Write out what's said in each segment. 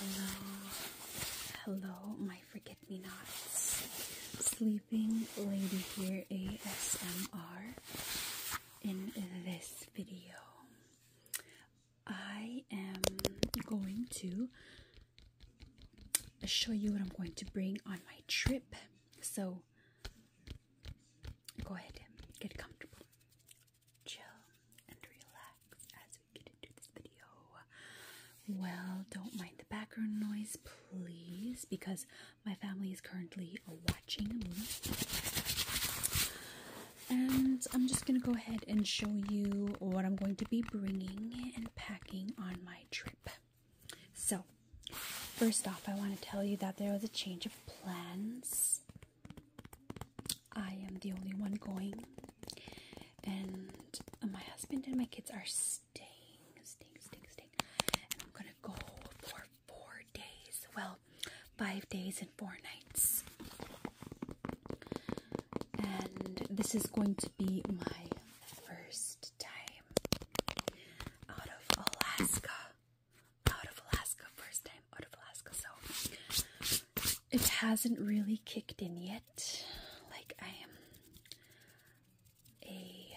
Hello, hello, my forget-me-nots. Sleeping Lady here ASMR. In this video, I am going to show you what I'm going to bring on my trip. So go ahead, get comfortable, chill, and relax as we get into this video. Well, don't mind the background noise, please, because my family is currently watching a movie and I'm just going to go ahead and show you what I'm going to be bringing and packing on my trip. So, first off, I want to tell you that there was a change of plans. I am the only one going, and my husband and my kids are staying, staying, staying, staying. And I'm going to go for four days. Well, five days and four nights. And this is going to be my first time out of Alaska. Out of Alaska, first time out of Alaska. So it hasn't really kicked in yet. Like I am a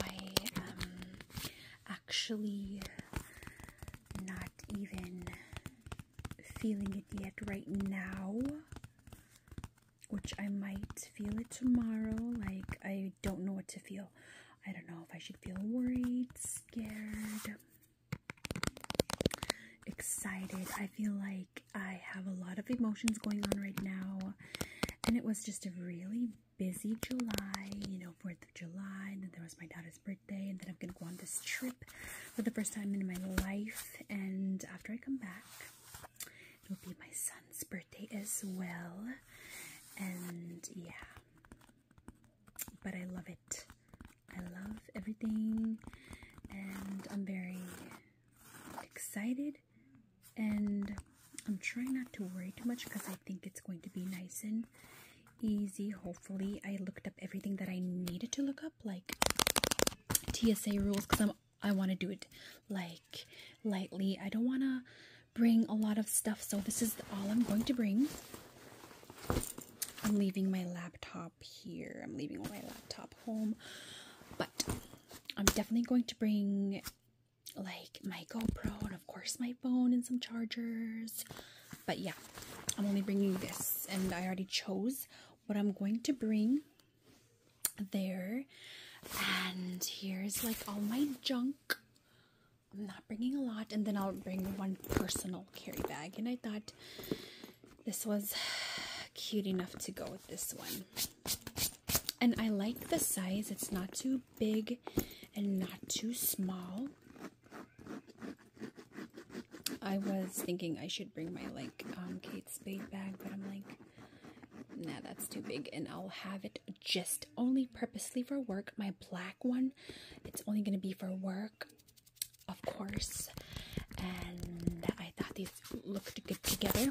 I am actually not even feeling it yet right now, which I might feel it tomorrow. Like, I don't know what to feel. I don't know if I should feel worried, scared, excited. I feel like I have a lot of emotions going on right now, and it was just a really busy July, you know, 4th of July, and then there was my daughter's birthday, and then I'm gonna go on this trip for the first time in my life, and after I come back, it'll be my son's birthday as well, and yeah, but I love it. I love everything, and I'm very excited and I'm trying not to worry too much because I think it's going to be nice and easy. Hopefully, I looked up everything that I needed to look up, like TSA rules, because I'm I want to do it like lightly. I don't want to bring a lot of stuff, so this is all I'm going to bring. I'm leaving my laptop here. I'm leaving my laptop home, but I'm definitely going to bring like my GoPro and of course my phone and some chargers. But yeah, I'm only bringing this and I already chose what I'm going to bring there. And here's like all my junk. I'm not bringing a lot and then I'll bring one personal carry bag. And I thought this was cute enough to go with this one. And I like the size. It's not too big and not too small. I was thinking I should bring my like um, Kate Spade bag, but I'm like, nah, that's too big. And I'll have it just only purposely for work. My black one, it's only going to be for work, of course. And I thought these looked good together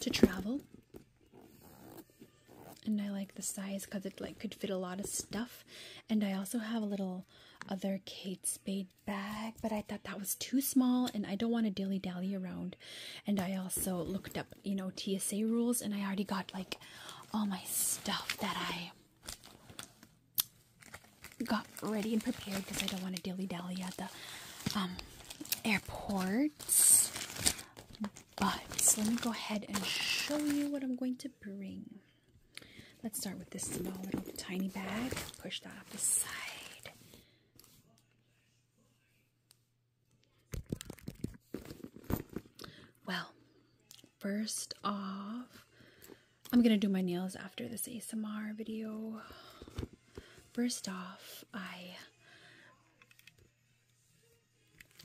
to travel. And I like the size because it like could fit a lot of stuff. And I also have a little other Kate Spade bag, but I thought that was too small and I don't want to dilly dally around. And I also looked up, you know, TSA rules and I already got like all my stuff that I got ready and prepared because I don't want to dilly dally at the um, airports. But let me go ahead and show you what I'm going to bring. Let's start with this small little tiny bag. Push that off the side. Well, first off, I'm going to do my nails after this ASMR video first off, I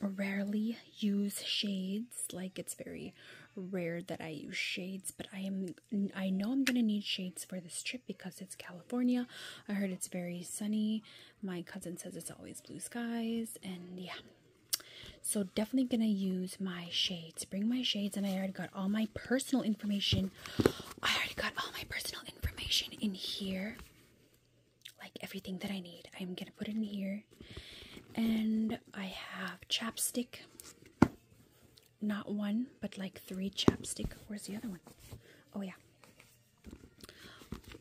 rarely use shades. Like it's very rare that I use shades, but I am I know I'm gonna need shades for this trip because it's California. I heard it's very sunny. My cousin says it's always blue skies, and yeah. So definitely gonna use my shade shades. Bring my shades, and I already got all my personal information. I already got all my personal information in here. Like everything that I need. I'm gonna put it in here. And I have chapstick. Not one, but like three chapstick. Where's the other one? Oh, yeah.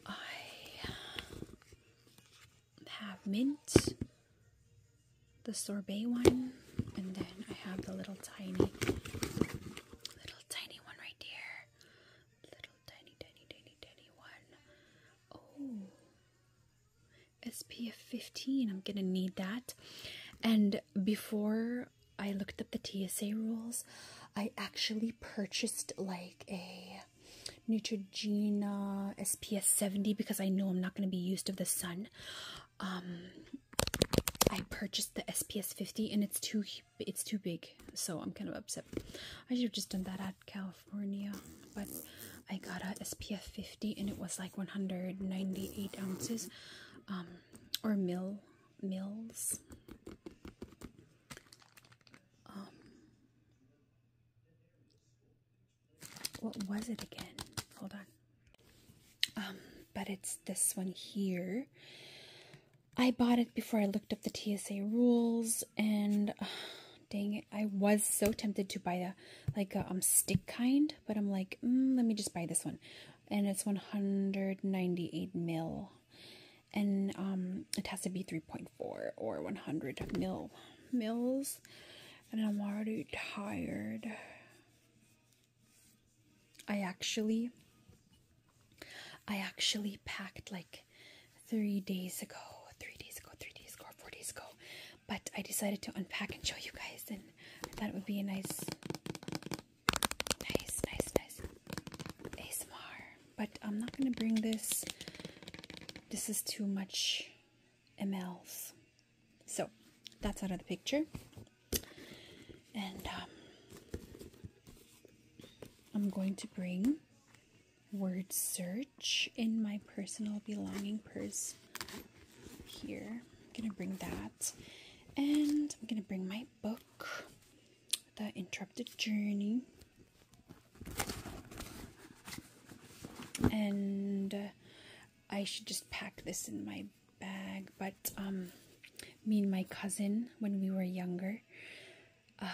I have mint the sorbet one, and then I have the little tiny, little tiny one right here, Little tiny, tiny, tiny, tiny one. Oh, SPF 15. I'm gonna need that. And before I looked up the TSA rules, I actually purchased like a Neutrogena SPS 70 because I know I'm not going to be used of the sun. Um, I purchased the SPS 50 and it's too it's too big, so I'm kind of upset. I should have just done that at California, but I got a SPF 50 and it was like 198 ounces, um, or mil mils. Um, what was it again? Hold on. Um, but it's this one here. I bought it before I looked up the TSA rules, and uh, dang it, I was so tempted to buy the like a um, stick kind, but I'm like, mm, let me just buy this one, and it's 198 mil, and um, it has to be 3.4 or 100 mil mils, and I'm already tired. I actually I actually packed like 3 days ago, 3 days ago, 3 days ago, 4 days ago. But I decided to unpack and show you guys and I thought it would be a nice nice nice nice ASMR. But I'm not going to bring this. This is too much mLs. So that's out of the picture. And um, I'm going to bring word search in my personal belonging purse here. I'm going to bring that. And I'm going to bring my book, The Interrupted Journey. And uh, I should just pack this in my bag, but um, me and my cousin when we were younger, um,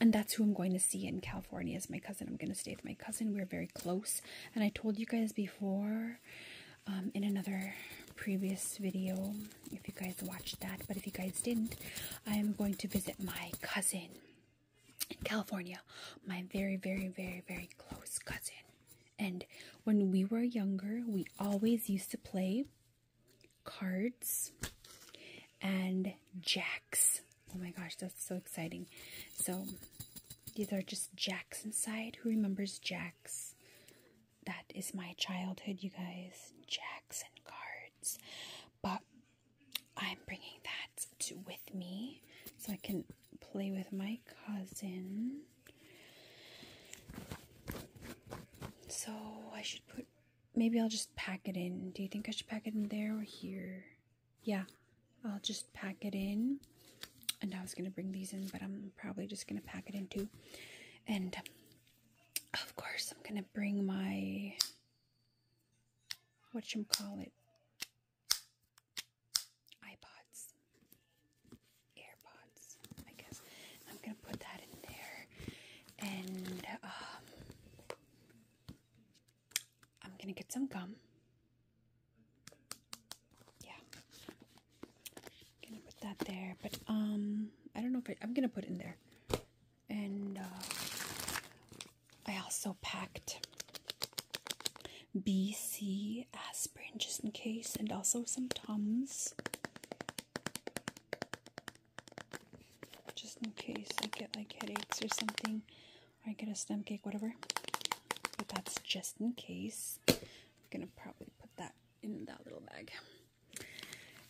and that's who I'm going to see in California is my cousin. I'm going to stay with my cousin. We're very close, and I told you guys before um, in another previous video if you guys watched that, but if you guys didn't, I am going to visit my cousin in California, my very, very, very, very close cousin. And when we were younger, we always used to play cards and jacks. Oh my gosh, that's so exciting. So these are just jacks inside. Who remembers jacks? That is my childhood, you guys. Jacks and cards. But I'm bringing that to, with me so I can play with my cousin. So I should put. Maybe I'll just pack it in. Do you think I should pack it in there or here? Yeah, I'll just pack it in. And I was gonna bring these in, but I'm probably just gonna pack it in too. And of course, I'm gonna bring my what you call it iPods, AirPods, I guess. I'm gonna put that in there, and um, I'm gonna get some gum. Yeah, I'm gonna put that there, but um, I don't know if I, am gonna put it in there, and uh, I also packed BC aspirin just in case, and also some Tums just in case I get like headaches or something, or I get a stomach ache, whatever. But that's just in case. I'm gonna probably put that in that little bag.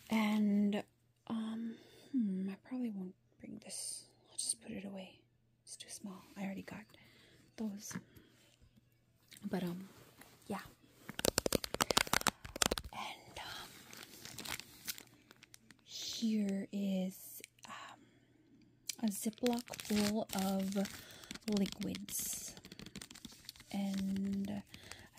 And um, hmm, I probably won't bring this. I'll just put it away. It's too small. I already got those. But, um, yeah. And, um, here is um, a Ziploc full of liquids. And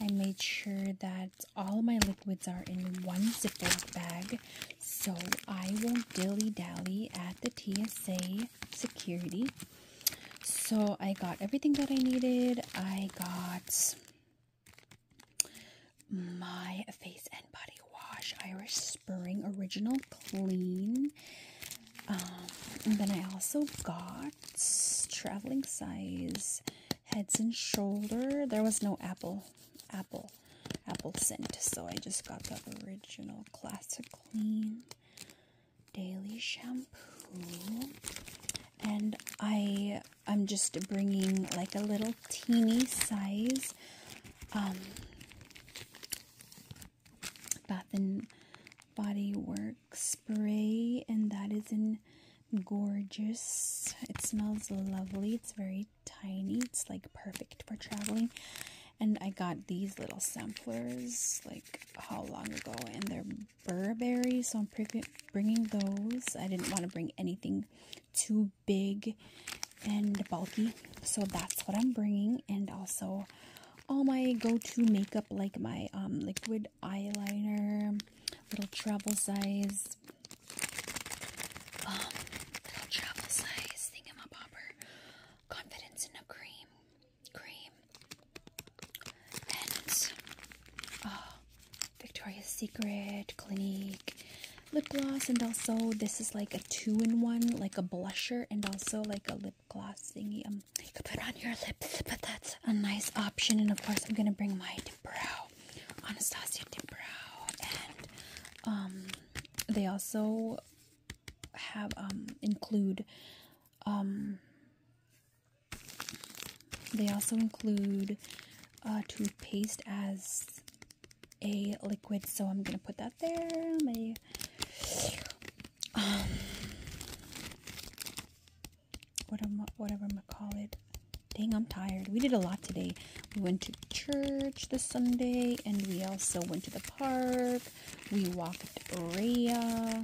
I made sure that all my liquids are in one Ziploc bag so I won't dilly dally at the TSA security. So I got everything that I needed. I got my face and body wash Irish Spring Original Clean. Um, and then I also got traveling size heads and shoulder. There was no apple apple apple scent. So I just got the original classic clean daily shampoo and I I'm just bringing like a little teeny size um Bath and Body Works spray and that is in gorgeous. It smells lovely. It's very tiny. It's like perfect for traveling. And I got these little samplers like how long ago, and they're Burberry, so I'm bringing those. I didn't want to bring anything too big and bulky, so that's what I'm bringing. And also, all my go-to makeup like my um liquid eyeliner, little travel size um, little travel size thingamabobber, confidence in a cream, cream, and oh, Victoria's Secret, Clinique, lip gloss, and also this is like a two-in-one, like a blusher and also like a lip gloss thingy. Um, you could put on your lips, but that's a nice option. And of course, I'm gonna bring my brow Anastasia Dibrow, and um, they also have um, include um, they also include toothpaste as a liquid, so I'm gonna put that there. My, what am what, whatever I'm gonna call it. Dang, I'm tired. We did a lot today. We went to church this Sunday, and we also went to the park. We walked Raya,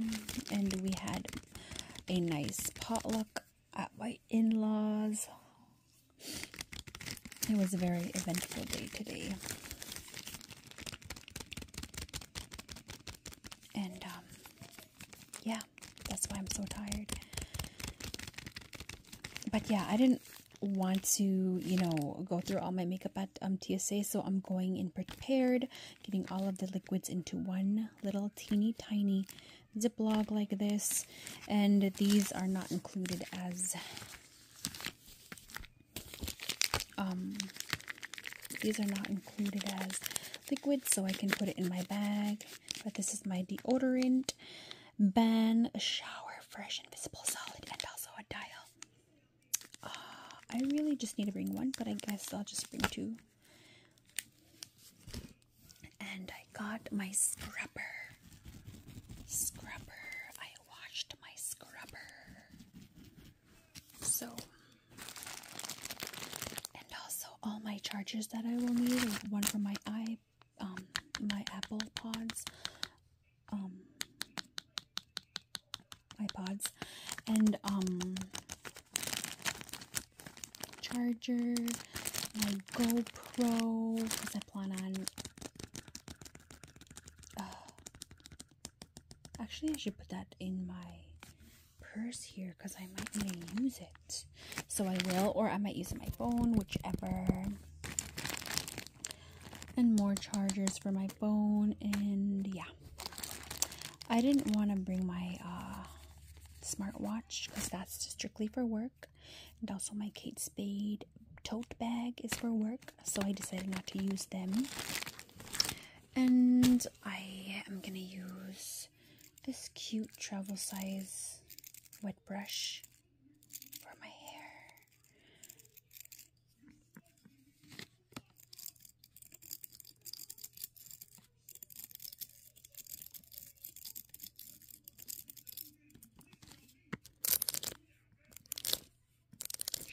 and we had a nice potluck at my in-laws. It was a very eventful day today. And, um, yeah, that's why I'm so tired but yeah, I didn't want to, you know, go through all my makeup at um, TSA, so I'm going in prepared, getting all of the liquids into one little teeny tiny Ziploc like this, and these are not included as, um, these are not included as liquid, so I can put it in my bag, but this is my deodorant, Ben, a shower, fresh, invisible, solid, and also a dial. Uh, I really just need to bring one, but I guess I'll just bring two. And I got my scrubber. Scrubber. I washed my scrubber. So, and also all my chargers that I will need one for my iPhone my um my Apple Pods, um, iPods, and um charger, my GoPro because I plan on. Uh, actually, I should put that in my purse here because I might even use it. So I will, or I might use my phone, whichever. And more chargers for my phone, and yeah. I didn't want to bring my uh, smartwatch because that's strictly for work. And also my Kate Spade tote bag is for work, so I decided not to use them. And I am going to use this cute travel size wet brush for my hair. And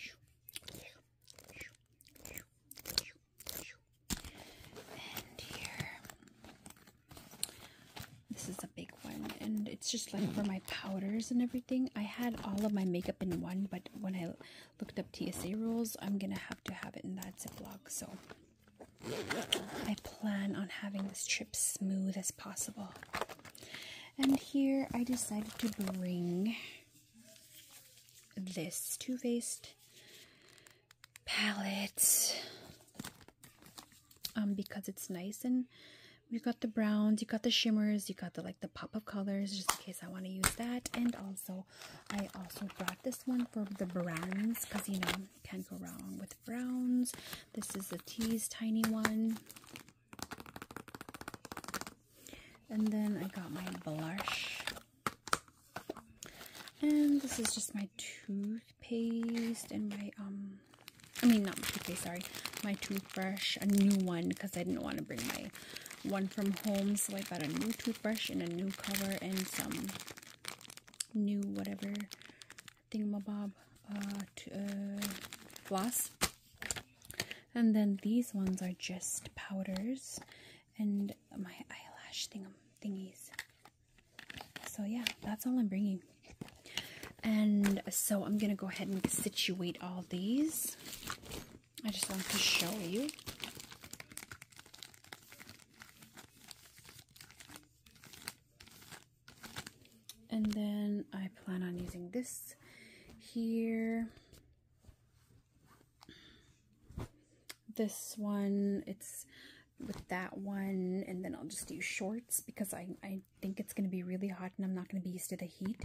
here this is a big one, and it's just like hmm. for my powders and everything. I had all of my makeup in one, but when I looked up TSA rules, I'm gonna have to have it in that Ziploc. So I plan on having this trip smooth as possible. And here I decided to bring this Too Faced palette um because it's nice and you got the browns you got the shimmers you got the like the pop of colors just in case i want to use that and also i also brought this one for the browns because you know can't go wrong with browns this is a tease tiny one and then i got my blush and this is just my toothpaste and my, um, I mean, not my toothpaste, sorry, my toothbrush, a new one, because I didn't want to bring my one from home, so I bought a new toothbrush and a new cover and some new whatever thingamabob, uh, uh, floss. And then these ones are just powders and my eyelash thingam thingies. So yeah, that's all I'm bringing. And so I'm going to go ahead and situate all these. I just want to show you. And then I plan on using this here. This one, it's with that one and then I'll just do shorts because I, I think it's going to be really hot and I'm not going to be used to the heat.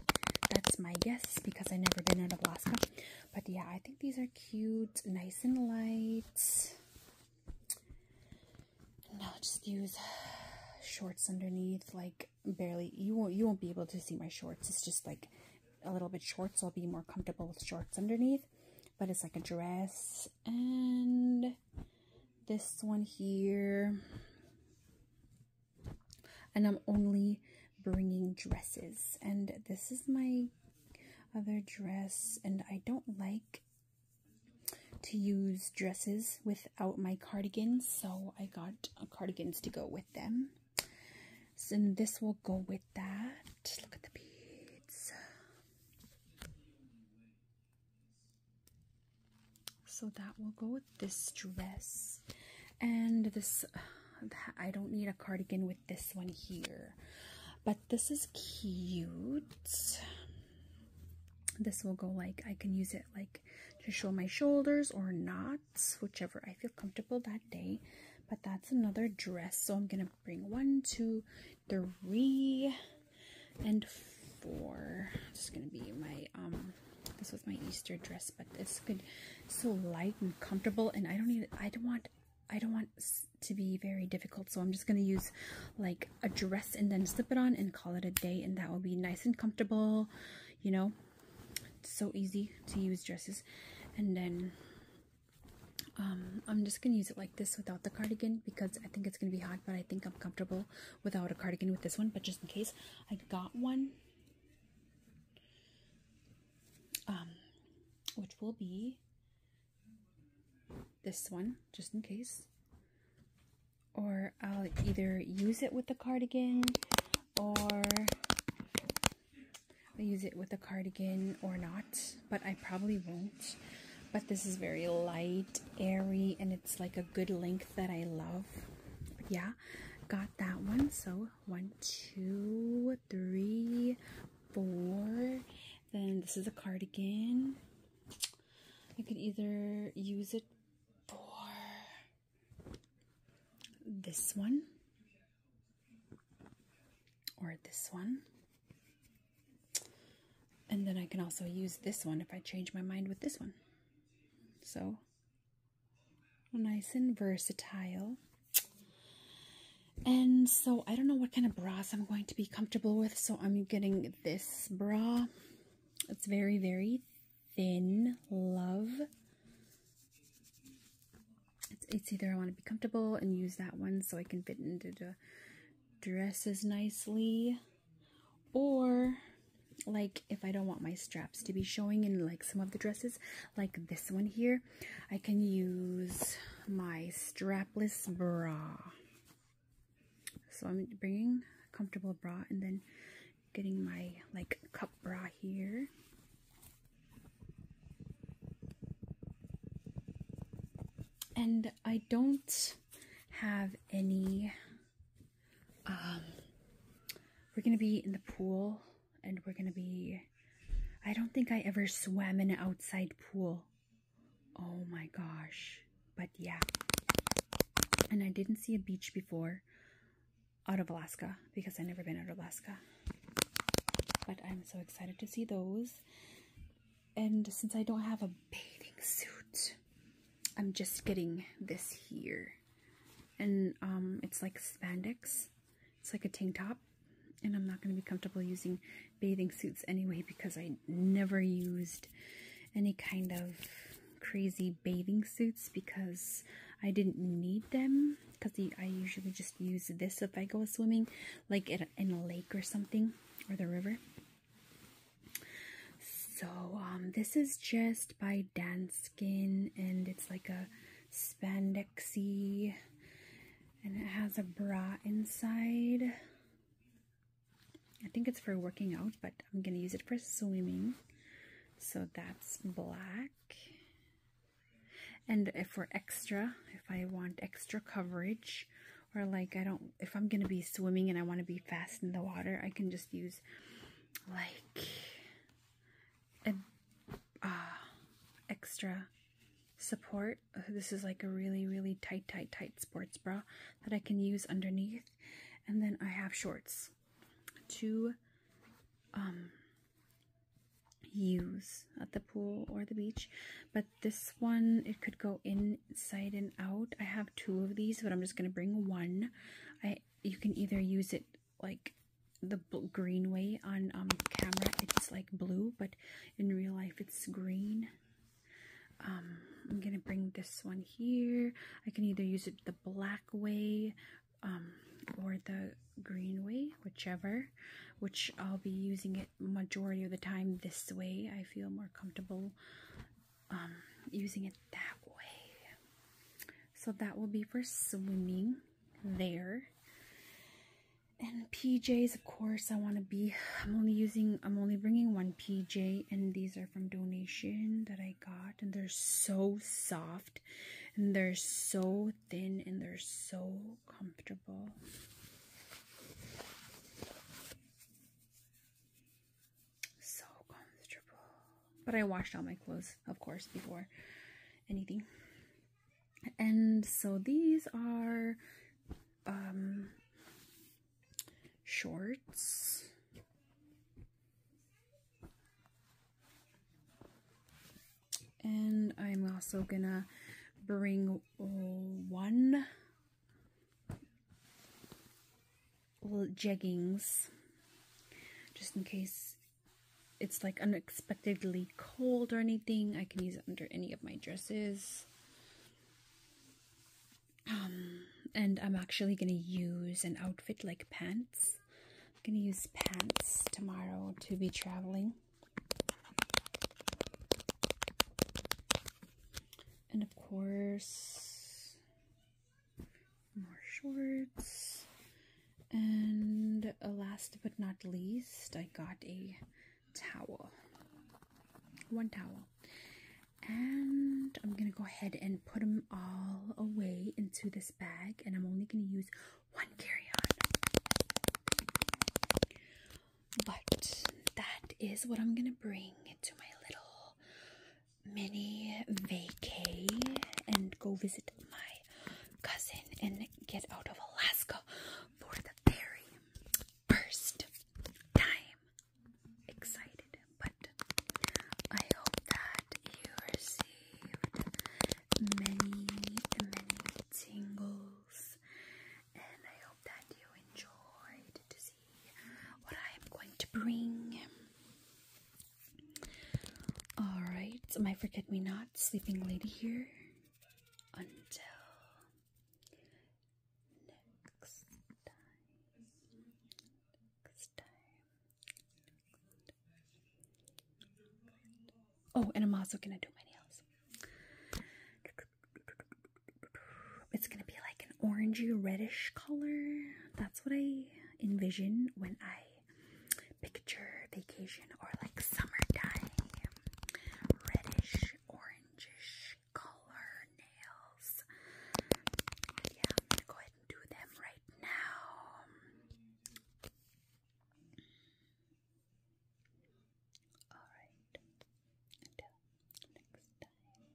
That's my guess because I've never been out of Alaska. But yeah, I think these are cute, nice and light. And just use shorts underneath, like barely, you won't, you won't be able to see my shorts. It's just like a little bit short, so I'll be more comfortable with shorts underneath but it's like a dress. And this one here. And I'm only bringing dresses. And this is my other dress. And I don't like to use dresses without my cardigans. So I got cardigans to go with them. So, this will go with that. Just look at the beads. So that will go with this dress. And this, I don't need a cardigan with this one here. But this is cute. This will go like, I can use it like to show my shoulders or not, whichever I feel comfortable that day. But that's another dress, so I'm going to bring one, two, three, and four. This gonna be my um this was my Easter dress, but it's good, so light and comfortable and I don't need I don't want I don't want to be very difficult, so I'm just going to use like a dress and then slip it on and call it a day, and that will be nice and comfortable, you know. It's so easy to use dresses, and then um, I'm just gonna use it like this without the cardigan because I think it's gonna be hot, but I think I'm comfortable without a cardigan with this one. But just in case, I got one, um, which will be this one, just in case. Or I'll either use it with the cardigan or I use it with a cardigan or not, but I probably won't. But this is very light, airy, and it's like a good length that I love. yeah, got that one. So one, two, three, four. Then this is a cardigan. I could either use it for this one or this one. And then I can also use this one if I change my mind with this one. So nice and versatile. And so I don't know what kind of bras I'm going to be comfortable with. So I'm getting this bra. It's very, very thin. Love it's either I want to be comfortable and use that one so I can fit into the dresses nicely or like if I don't want my straps to be showing in like some of the dresses like this one here I can use my strapless bra so I'm bringing a comfortable bra and then getting my like cup bra here and I don't have any. Um, we're gonna be in the pool and we're gonna be. I don't think I ever swam in an outside pool. Oh my gosh. But yeah. And I didn't see a beach before out of Alaska because i never been out of Alaska. But I'm so excited to see those. And since I don't have a bathing suit, I'm just getting this here. And um, it's like spandex. It's like a tank top. And I'm not going to be comfortable using bathing suits anyway because I never used any kind of crazy bathing suits because I didn't need them because I usually just use this if I go swimming, like in a, lake or something, or the river. So, um, this is just by Danskin, and it's like a spandexy, and it has a bra inside. I think it's for working out, but I'm gonna use it for swimming. So that's black. And if we're extra, if I want extra coverage, or like I don't, if I'm going to be swimming and I want to be fast in the water, I can just use like an uh, extra support. This is like a really, really tight, tight, tight sports bra that I can use underneath. And then I have shorts. Two um, use at the pool or the beach but this one it could go inside and out i have two of these but i'm just going to bring one i you can either use it like the green way on um camera it's like blue but in real life it's green um i'm gonna bring this one here i can either use it the black way um, or the greenway, whichever, which I'll be using it majority of the time this way. I feel more comfortable um, using it that way. So that will be for swimming there. And PJs, of course, I want to be, I'm only using, I'm only bringing one PJ and these are from donation that I got and they're so soft and they're so thin and they're so comfortable. So comfortable. But I washed all my clothes, of course, before anything. And so these are um shorts and I'm also gonna bring one little jeggings just in case it's like unexpectedly cold or anything. I can use it under any of my dresses. Um, and I'm actually going to use an outfit like pants I'm going to use pants tomorrow to be traveling. And of course, more shorts. And uh, last but not least, I got a towel. One towel. And I'm going to go ahead and put them all away into this bag. And I'm only going to use one carry-on. But that is what I'm gonna bring to my little mini vacay and go visit my cousin and get out of Alaska for the very first time. Excited, but I hope that you received many, many tingles, and I hope that you enjoyed to see what I am going to bring. Alright, so my forget me not sleeping lady here until Next time. Oh, and I'm also gonna do my nails. It's gonna be like an orangey reddish color. That's what I envision when I picture vacation or like summertime. Reddish, orangish color nails. yeah, I'm gonna go ahead and do them right now. Alright, until next time.